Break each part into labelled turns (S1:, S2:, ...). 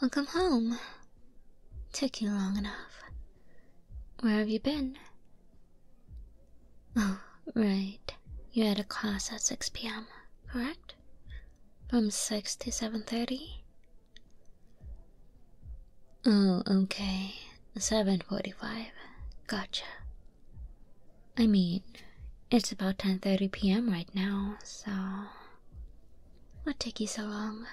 S1: Welcome home. Took you long enough. Where have you been? Oh, right. You had a class at 6 p.m., correct? From 6 to 7.30? Oh, okay. 7.45. Gotcha. I mean, it's about 10:30 p.m. right now, so what took you so long?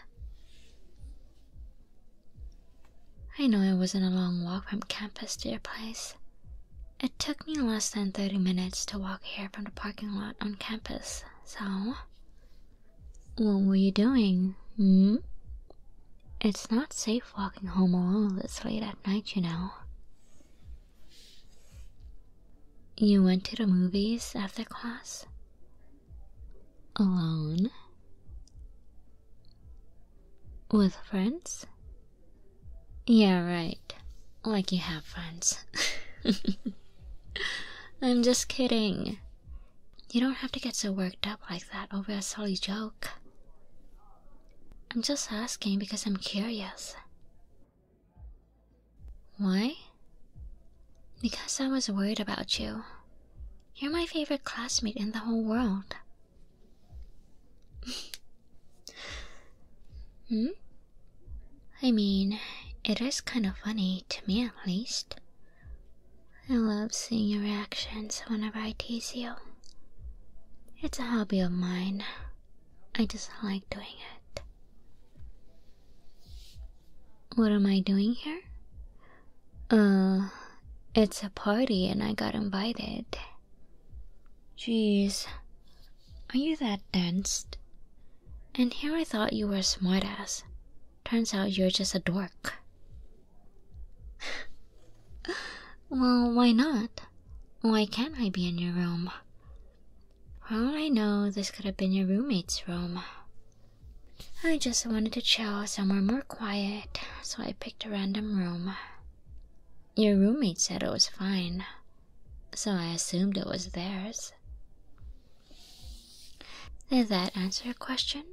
S1: I know it wasn't a long walk from campus to your place. It took me less than 30 minutes to walk here from the parking lot on campus, so. What were you doing? Hmm? It's not safe walking home alone this late at night, you know. You went to the movies after class? Alone? With friends? Yeah, right. Like you have friends. I'm just kidding. You don't have to get so worked up like that over a silly joke. I'm just asking because I'm curious. Why? Because I was worried about you. You're my favorite classmate in the whole world. hmm? I mean, it is kind of funny, to me at least. I love seeing your reactions whenever I tease you. It's a hobby of mine, I just like doing it. What am I doing here? Uh, it's a party and I got invited. Jeez, are you that dense? And here I thought you were a smartass. Turns out you're just a dork. well, why not? Why can't I be in your room? Well, I know this could have been your roommate's room. I just wanted to chill somewhere more quiet, so I picked a random room. Your roommate said it was fine, so I assumed it was theirs. Did that answer your question?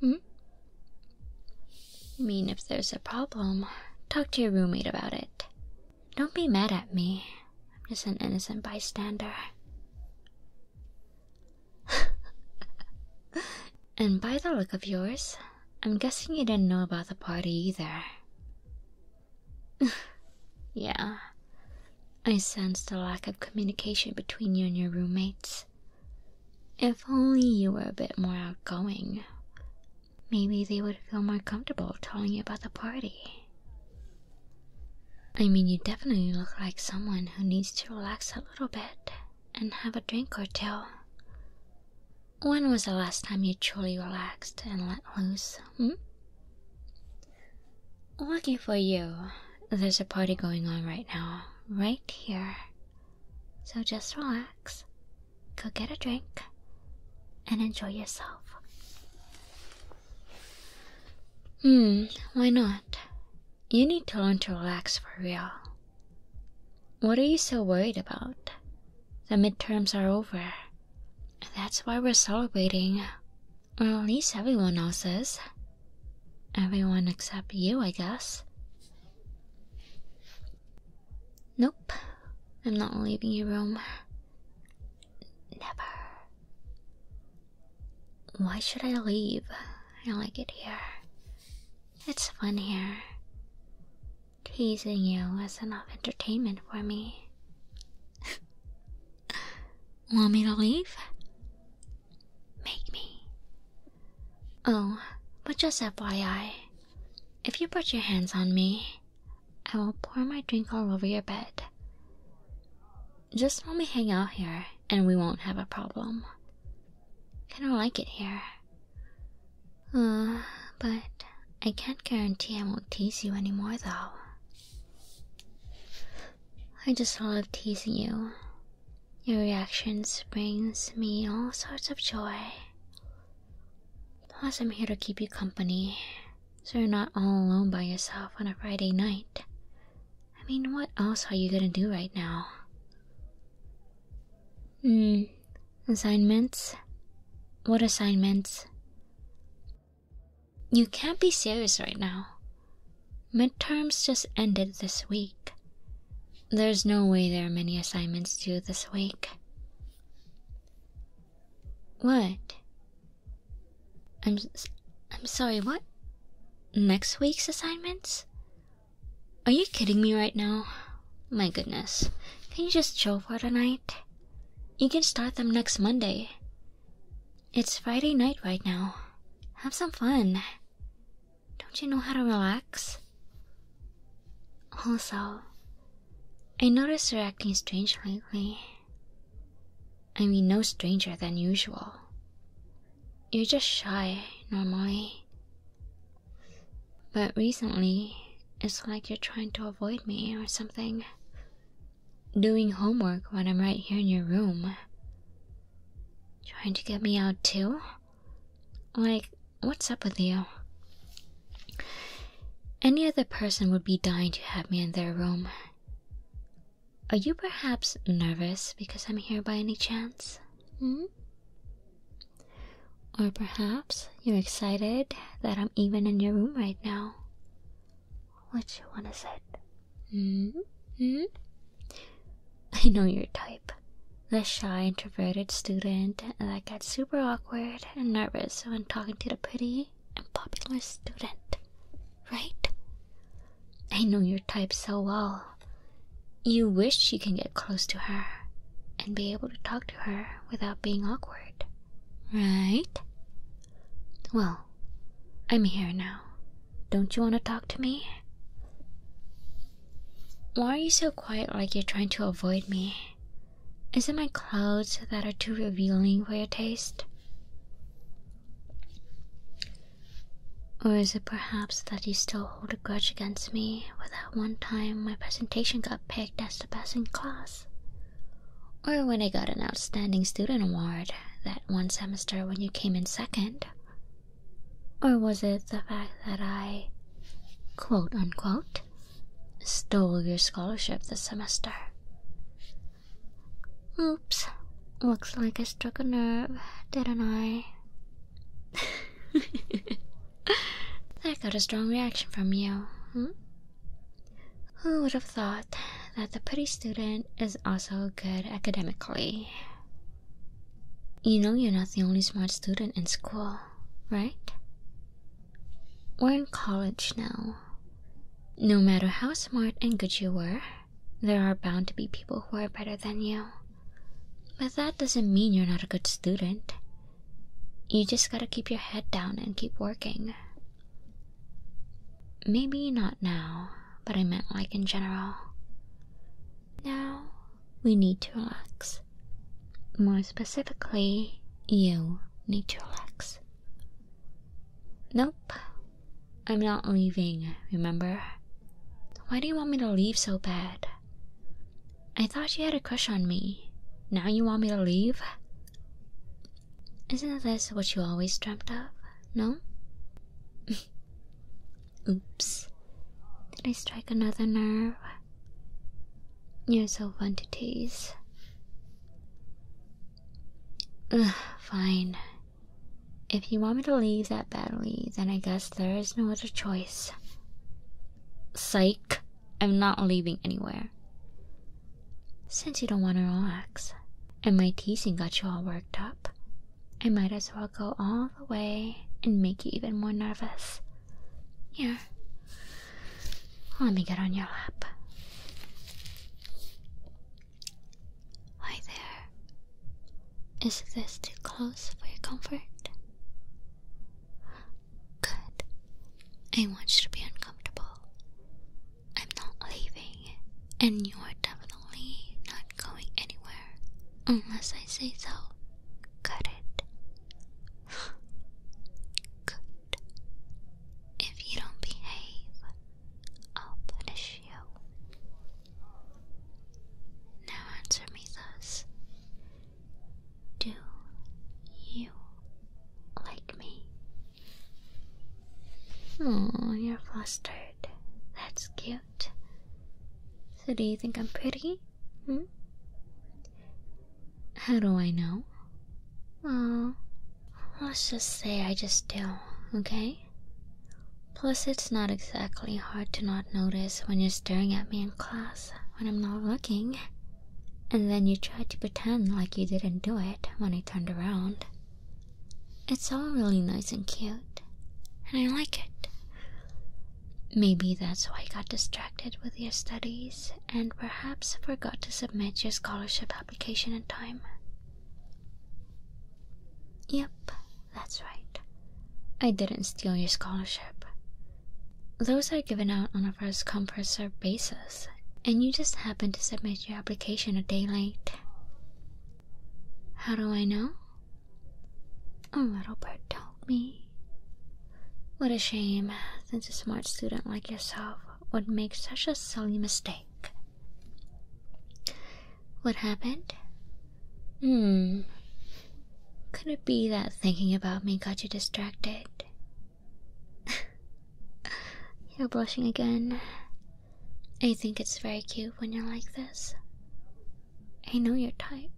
S1: Hmm? I mean, if there's a problem, talk to your roommate about it. Don't be mad at me. I'm just an innocent bystander. and by the look of yours, I'm guessing you didn't know about the party either. yeah, I sensed the lack of communication between you and your roommates. If only you were a bit more outgoing, Maybe they would feel more comfortable telling you about the party. I mean, you definitely look like someone who needs to relax a little bit and have a drink or two. When was the last time you truly relaxed and let loose? Hmm? Lucky for you, there's a party going on right now, right here. So just relax, go get a drink and enjoy yourself. Hmm, why not? You need to learn to relax for real. What are you so worried about? The midterms are over. That's why we're celebrating. Or at least everyone else is. Everyone except you, I guess. Nope, I'm not leaving your room. Never. Why should I leave? I like it here. It's fun here. Teasing you is enough entertainment for me. Want me to leave? Make me. Oh, but just FYI, if you put your hands on me, I will pour my drink all over your bed. Just let me hang out here, and we won't have a problem. I don't like it here. Uh, but I can't guarantee I won't tease you anymore, though. I just love teasing you. Your reactions brings me all sorts of joy. Plus, I'm here to keep you company so you're not all alone by yourself on a Friday night. I mean, what else are you gonna do right now? Hmm, assignments? What assignments? You can't be serious right now. Midterms just ended this week. There's no way there are many assignments due this week. What? I'm I'm sorry, what? Next week's assignments? Are you kidding me right now? My goodness. Can you just chill for tonight? You can start them next Monday. It's Friday night right now. Have some fun. Don't you know how to relax? Also, I noticed you're acting strange lately. I mean, no stranger than usual. You're just shy normally. But recently, it's like you're trying to avoid me or something. Doing homework when I'm right here in your room. Trying to get me out too? Like, what's up with you? Any other person would be dying to have me in their room. Are you perhaps nervous because I'm here by any chance? Hmm? Or perhaps you're excited that I'm even in your room right now? Which one is it? Hmm? Hmm? I know your type the shy introverted student that gets super awkward and nervous when talking to the pretty and popular student, right? I know your type so well. You wish you can get close to her and be able to talk to her without being awkward, right? Well, I'm here now. Don't you want to talk to me? Why are you so quiet like you're trying to avoid me? Is it my clothes that are too revealing for your taste? Or is it perhaps that you still hold a grudge against me for that one time my presentation got picked as the best in class? Or when I got an outstanding student award that one semester when you came in second? Or was it the fact that I, quote unquote, stole your scholarship this semester. Oops, looks like I struck a nerve, didn't I? that got a strong reaction from you, hmm? Who would have thought that the pretty student is also good academically? You know, you're not the only smart student in school right? We're in college now. No matter how smart and good you were, there are bound to be people who are better than you. But that doesn't mean you're not a good student. You just gotta keep your head down and keep working. Maybe not now, but I meant like in general. Now we need to relax. More specifically, you need to relax. Nope, I'm not leaving, remember? Why do you want me to leave so bad? I thought you had a crush on me. Now you want me to leave? Isn't this what you always dreamed of? No? Oops. Did I strike another nerve? You're so fun to tease. fine. If you want me to leave that badly, then I guess there is no other choice. Psych, I'm not leaving anywhere. Since you don't want to relax, and my teasing got you all worked up, I might as well go all the way and make you even more nervous. Here. Let me get on your lap. Hi there. Is this too close for your comfort? Good. I want you to be uncomfortable. I'm not leaving, and you are definitely not going anywhere unless I say so. Good good. If you don't behave, I'll punish you. Now answer me thus. Do you like me? Oh, you're flustered. That's cute. So, do you think I'm pretty? Hmm? How do I know? Well, let's just say I just do, okay? Plus, it's not exactly hard to not notice when you're staring at me in class when I'm not looking. And then you try to pretend like you didn't do it when I turned around. It's all really nice and cute, and I like it. Maybe that's why you got distracted with your studies and perhaps forgot to submit your scholarship application in time. Yep, that's right. I didn't steal your scholarship. Those are given out on a first come first served basis, and you just happened to submit your application a day late. How do I know? A little bird told me. What a shame, since a smart student like yourself would make such a silly mistake. What happened? Hmm. Could it be that thinking about me got you distracted? you're blushing again. I think it's very cute when you're like this. I know your type.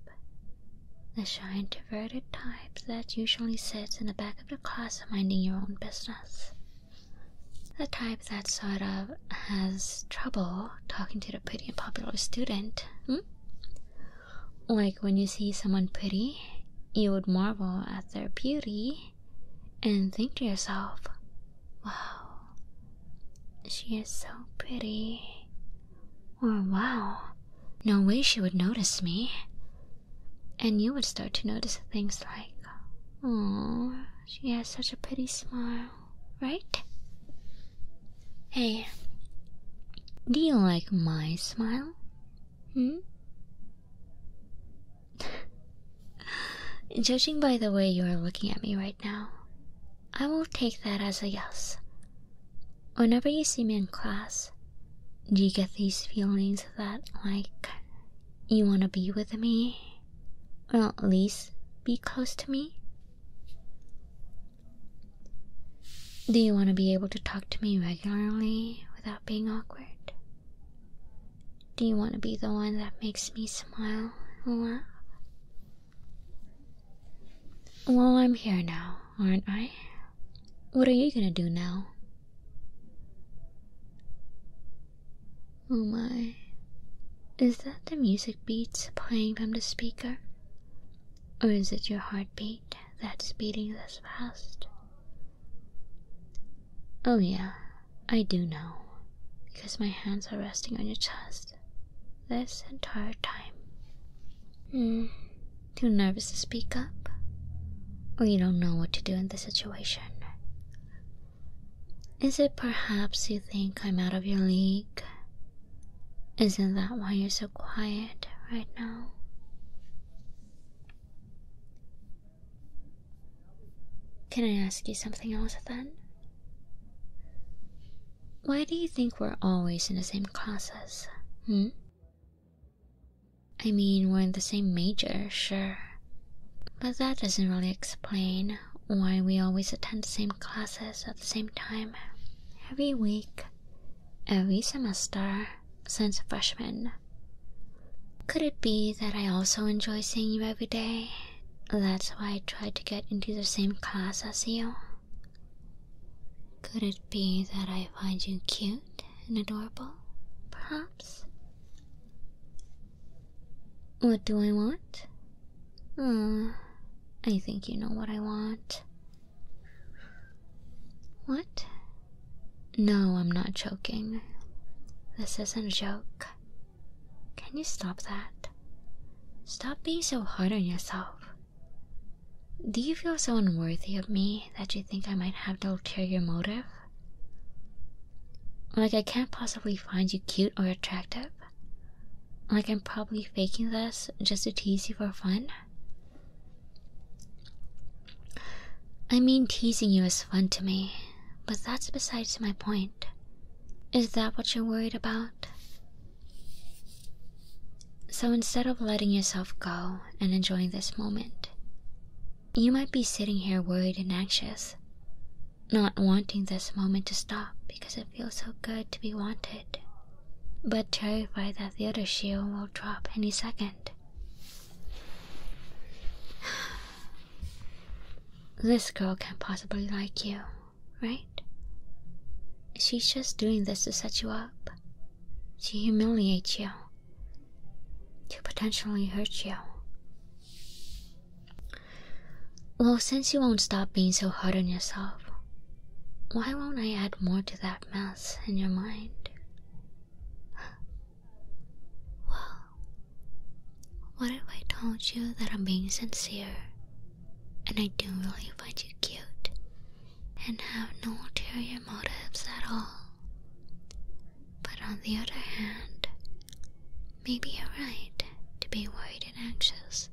S1: The shy, introverted type that usually sits in the back of the class minding your own business. The type that sort of has trouble talking to the pretty popular student. Hmm? Like when you see someone pretty, you would marvel at their beauty and think to yourself, wow, she is so pretty. Or oh, wow, no way she would notice me. And you would start to notice things like, oh, she has such a pretty smile, right? Hey, do you like my smile? Hmm? Judging by the way you are looking at me right now, I will take that as a yes. Whenever you see me in class, do you get these feelings that, like, you want to be with me? Or at least be close to me? Do you want to be able to talk to me regularly without being awkward? Do you want to be the one that makes me smile and laugh? Well, I'm here now, aren't I? What are you gonna do now? Oh my. Is that the music beats playing from the speaker? Or is it your heartbeat that's beating this fast? Oh, yeah, I do know. Because my hands are resting on your chest this entire time. Hmm, too nervous to speak up? Or you don't know what to do in this situation? Is it perhaps you think I'm out of your league? Isn't that why you're so quiet right now? Can I ask you something else then? Why do you think we're always in the same classes? Hmm? I mean, we're in the same major, sure. But that doesn't really explain why we always attend the same classes at the same time, every week, every semester, since freshman. Could it be that I also enjoy seeing you every day? That's why I try to get into the same class as you. Could it be that I find you cute and adorable, perhaps? What do I want? Hmm, I think you know what I want. What? No, I'm not joking. This isn't a joke. Can you stop that? Stop being so hard on yourself. Do you feel so unworthy of me that you think I might have the ulterior motive? Like I can't possibly find you cute or attractive? Like I'm probably faking this just to tease you for fun? I mean, teasing you is fun to me, but that's besides my point. Is that what you're worried about? So instead of letting yourself go and enjoying this moment, you might be sitting here worried and anxious, not wanting this moment to stop because it feels so good to be wanted, but terrified that the other shoe will drop any second. This girl can't possibly like you, right? She's just doing this to set you up, to humiliate you, to potentially hurt you. Well, since you won't stop being so hard on yourself, why won't I add more to that mess in your mind? Well, what if I told you that I'm being sincere and I do really find you cute and have no ulterior motives at all. But on the other hand, maybe you're right to be worried and anxious.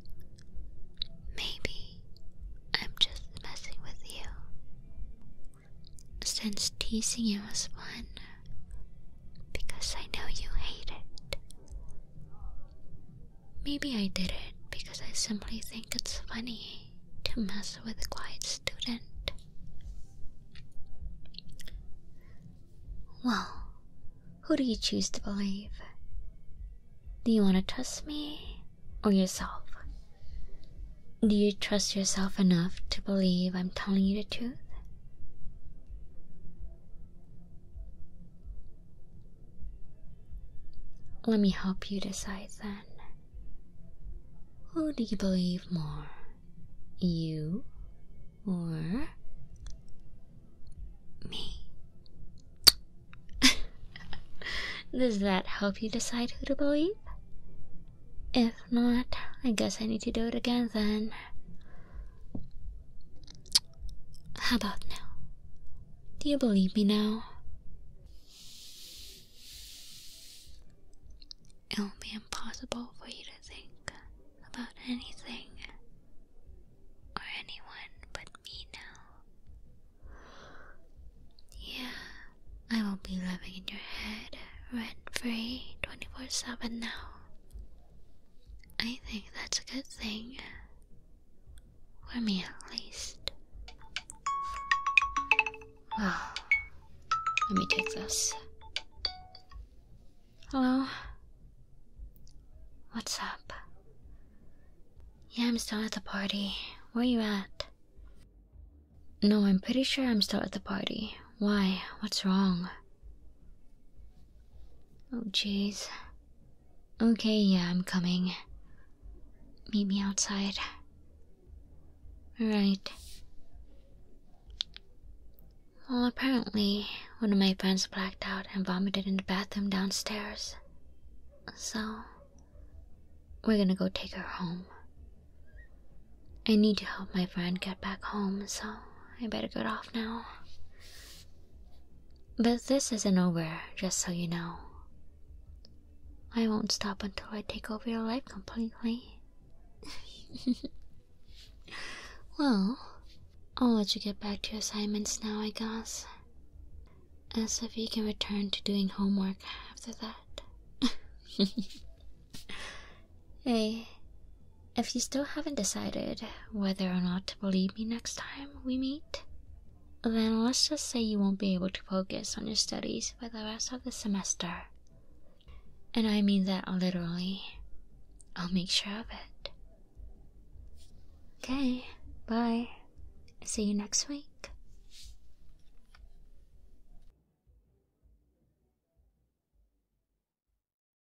S1: Maybe I'm just messing with you. Since teasing you was fun, because I know you hate it. Maybe I did it because I simply think it's funny to mess with a quiet student. Well, who do you choose to believe? Do you want to trust me or yourself? Do you trust yourself enough to believe I'm telling you the truth? Let me help you decide then. Who do you believe more? You or me? Does that help you decide who to believe? If not, I guess I need to do it again then. How about now? Do you believe me now? It'll be impossible for you to think about anything or anyone but me now. Yeah, I will be living in your head rent free 24 7 now. I think that's a good thing. For me, at least. let me take this. Hello? What's up? Yeah, I'm still at the party. Where you at? No, I'm pretty sure I'm still at the party. Why? What's wrong? Oh, jeez. Okay, yeah, I'm coming. Meet me outside. Right. Well, apparently, one of my friends blacked out and vomited in the bathroom downstairs. So, we're gonna go take her home. I need to help my friend get back home, so I better get off now. But this isn't over, just so you know. I won't stop until I take over your life completely. well, I'll let you get back to your assignments now, I guess. As if you can return to doing homework after that. hey, if you still haven't decided whether or not to believe me next time we meet, then let's just say you won't be able to focus on your studies for the rest of the semester. And I mean that literally. I'll make sure of it. Okay, bye. See you next week.